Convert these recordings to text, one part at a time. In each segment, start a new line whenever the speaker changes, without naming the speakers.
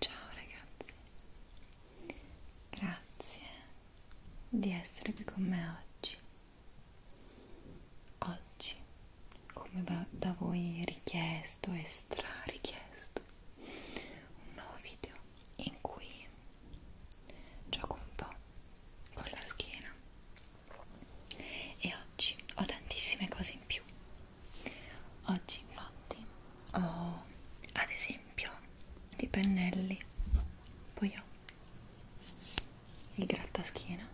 Ciao ragazzi, grazie di essere qui con me oggi. Oggi, come da voi richiesto e strarichiesto, un nuovo video in cui gioco un po' con la schiena e oggi ho tantissime cose in più oggi infatti ho ad esempio dei pennelli poi ho il grattaschiena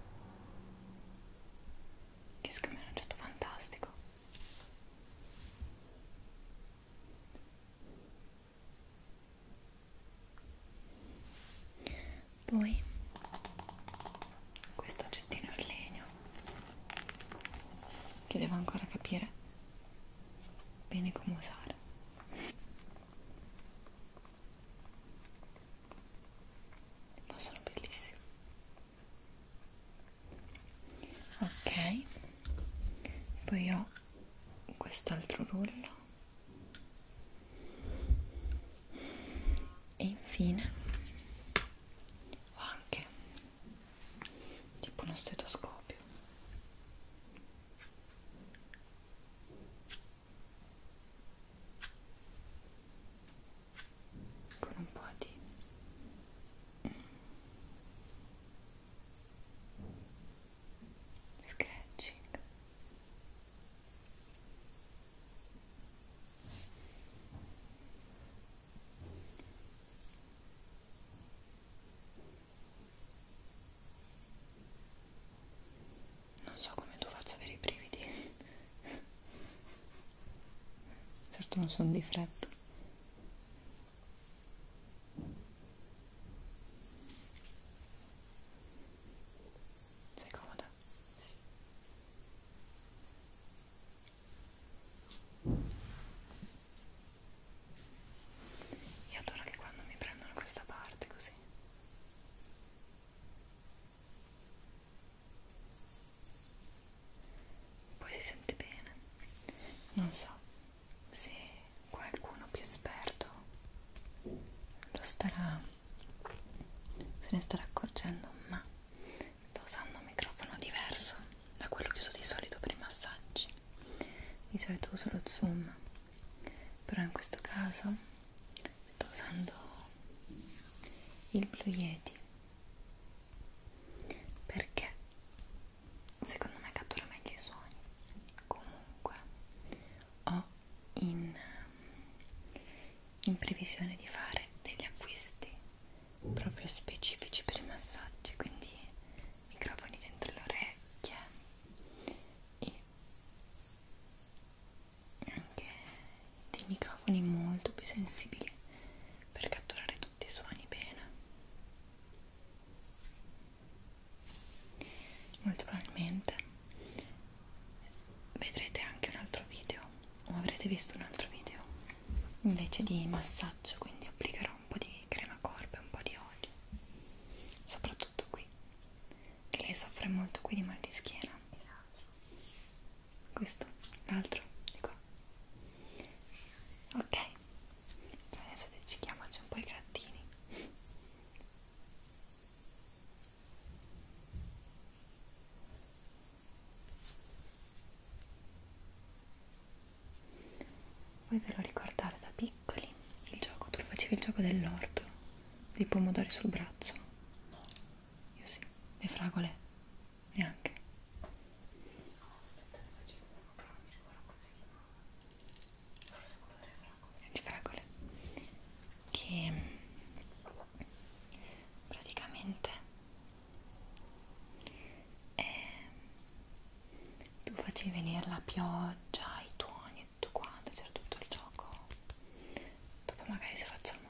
che secondo me è un oggetto fantastico poi questo oggettino in legno che devo ancora capire bene come usare ma sono bellissimi ok poi ho quest'altro rullo e infine ho anche tipo uno stetoscopio con un po' di scratching non so come tu faccia per i brividi certo non sono di freddo sei comoda? Io adoro che quando mi prendono questa parte così. Poi si sente bene. Non so, se qualcuno più esperto lo starà se ne starà accorgendo ma sto usando un microfono diverso da quello che uso di solito per i massaggi di solito uso lo zoom però in questo caso sto usando il Blue Yeti perché secondo me cattura meglio i suoni comunque ho in, ehm, in previsione di fare degli acquisti proprio specifici per i massaggi quindi microfoni dentro le orecchie e anche dei microfoni molto più sensibili per catturare tutti i suoni bene molto probabilmente vedrete anche un altro video o avrete visto un altro video invece di massaggio quindi applicherò un po' di crema corpo e un po' di olio soprattutto qui che lei soffre molto qui di mal di schiena questo l'altro di qua ok adesso decidiamoci un po' i gattini voi ve lo ricordate da piccoli il gioco tu lo facevi il gioco dell'orto dei pomodori sul braccio no io sì le fragole neanche aspetta ne faccio uno però mi ricordo così forse quello delle fragole le fragole che mm, praticamente eh, tu facevi venire la pioggia i tuoni e tutto quanto c'era tutto il gioco dopo magari se facciamo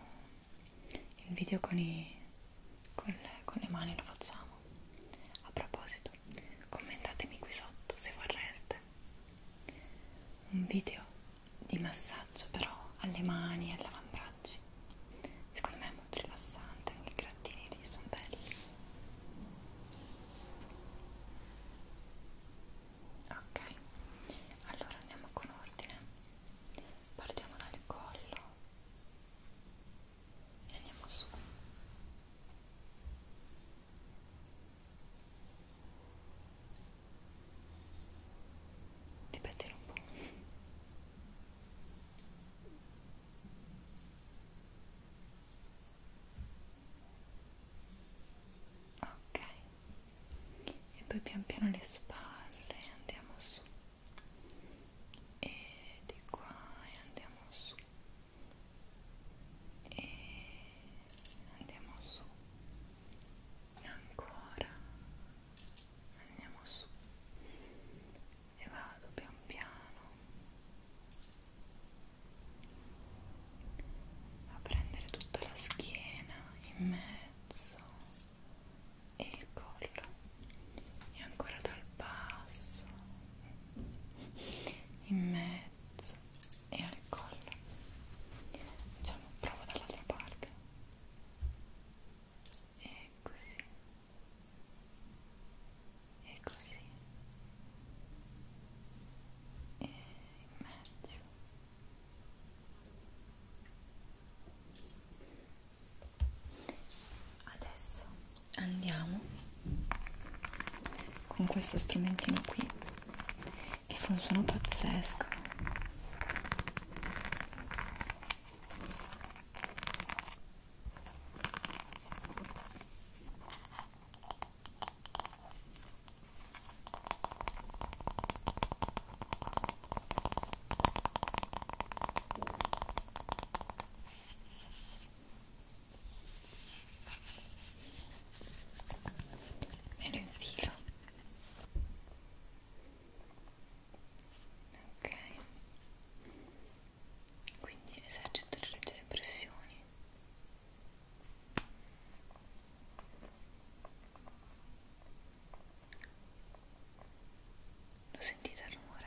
il video con i con le, con le mani lo facciamo a proposito commentatemi qui sotto se vorreste un video di massaggio però alle mani e all'avambraccio secondo me è molto rilassante anche i grattini lì sono belli ok allora andiamo con ordine partiamo dal collo e andiamo su ripetilo un po' ok e poi pian piano le spalle andiamo su e di qua e andiamo su e andiamo su ancora andiamo su e vado pian piano a prendere tutta la schiena in mezzo e il collo e ancora dal basso in mezzo e al collo diciamo provo dall'altra parte e così e così e in mezzo adesso andiamo con questo strumentino qui che fa un suono pazzesco me lo infilo ok quindi esercito le leggere pressioni lo sentite il rumore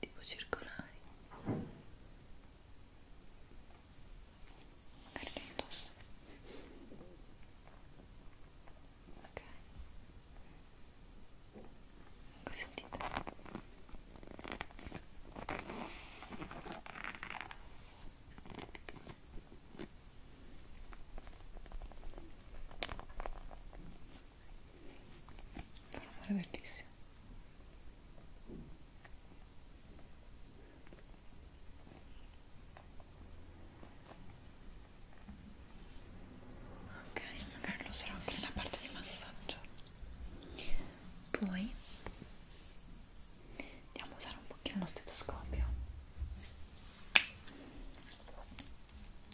tipo circolari carne indosso ok ecco sentite Fa un amore bellissimo. Ok, magari lo sarò anche nella parte di massaggio. Poi andiamo a usare un pochino lo stetoscopio.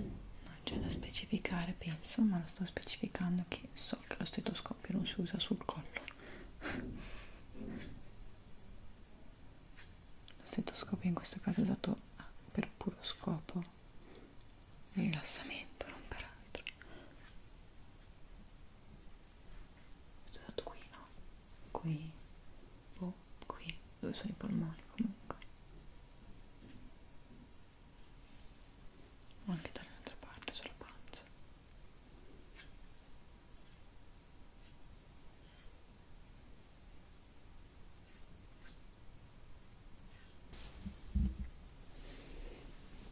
Non c'è da specificare, penso, ma lo sto specificando che so che lo stetoscopio non si usa sul collo lo stetoscopio in questo caso è usato per puro scopo di rilassamento, non per altro questo è usato qui, no? qui, boh, qui, dove sono i polmoni comunque o anche dall'altra parte sulla pancia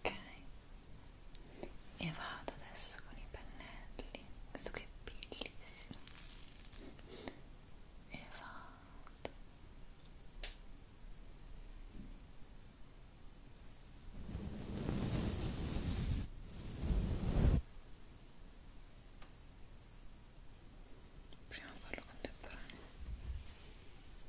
ok e vado adesso con i pennelli questo che è bellissimo e vado ok Prima farlo contemporaneo. Ecco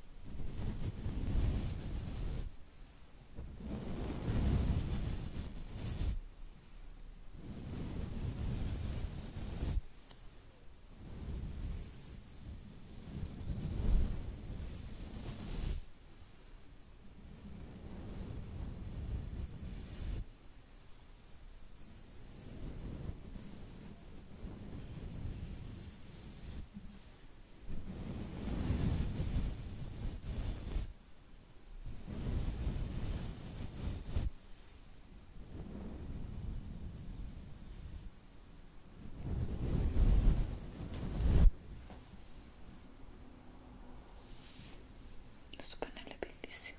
questo pannello è bellissimo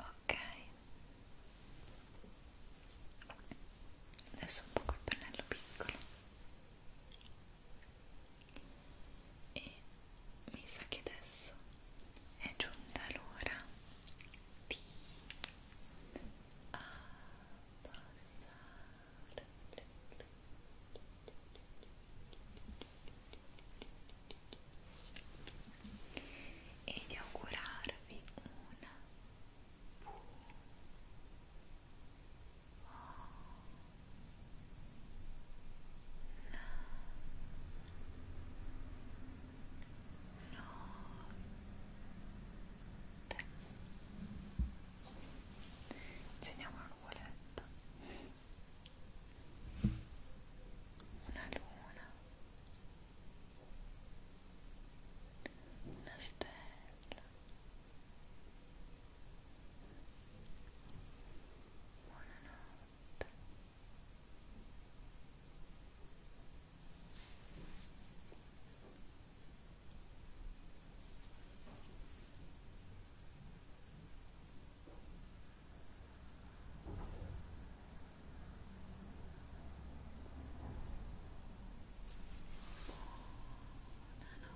Ok, adesso un po' col pennello piccolo e mi sa che adesso è giunta l'ora di abbassare e di augurarvi una buona Disegniamo una nuvoletta, una luna, una stella one and out. One and out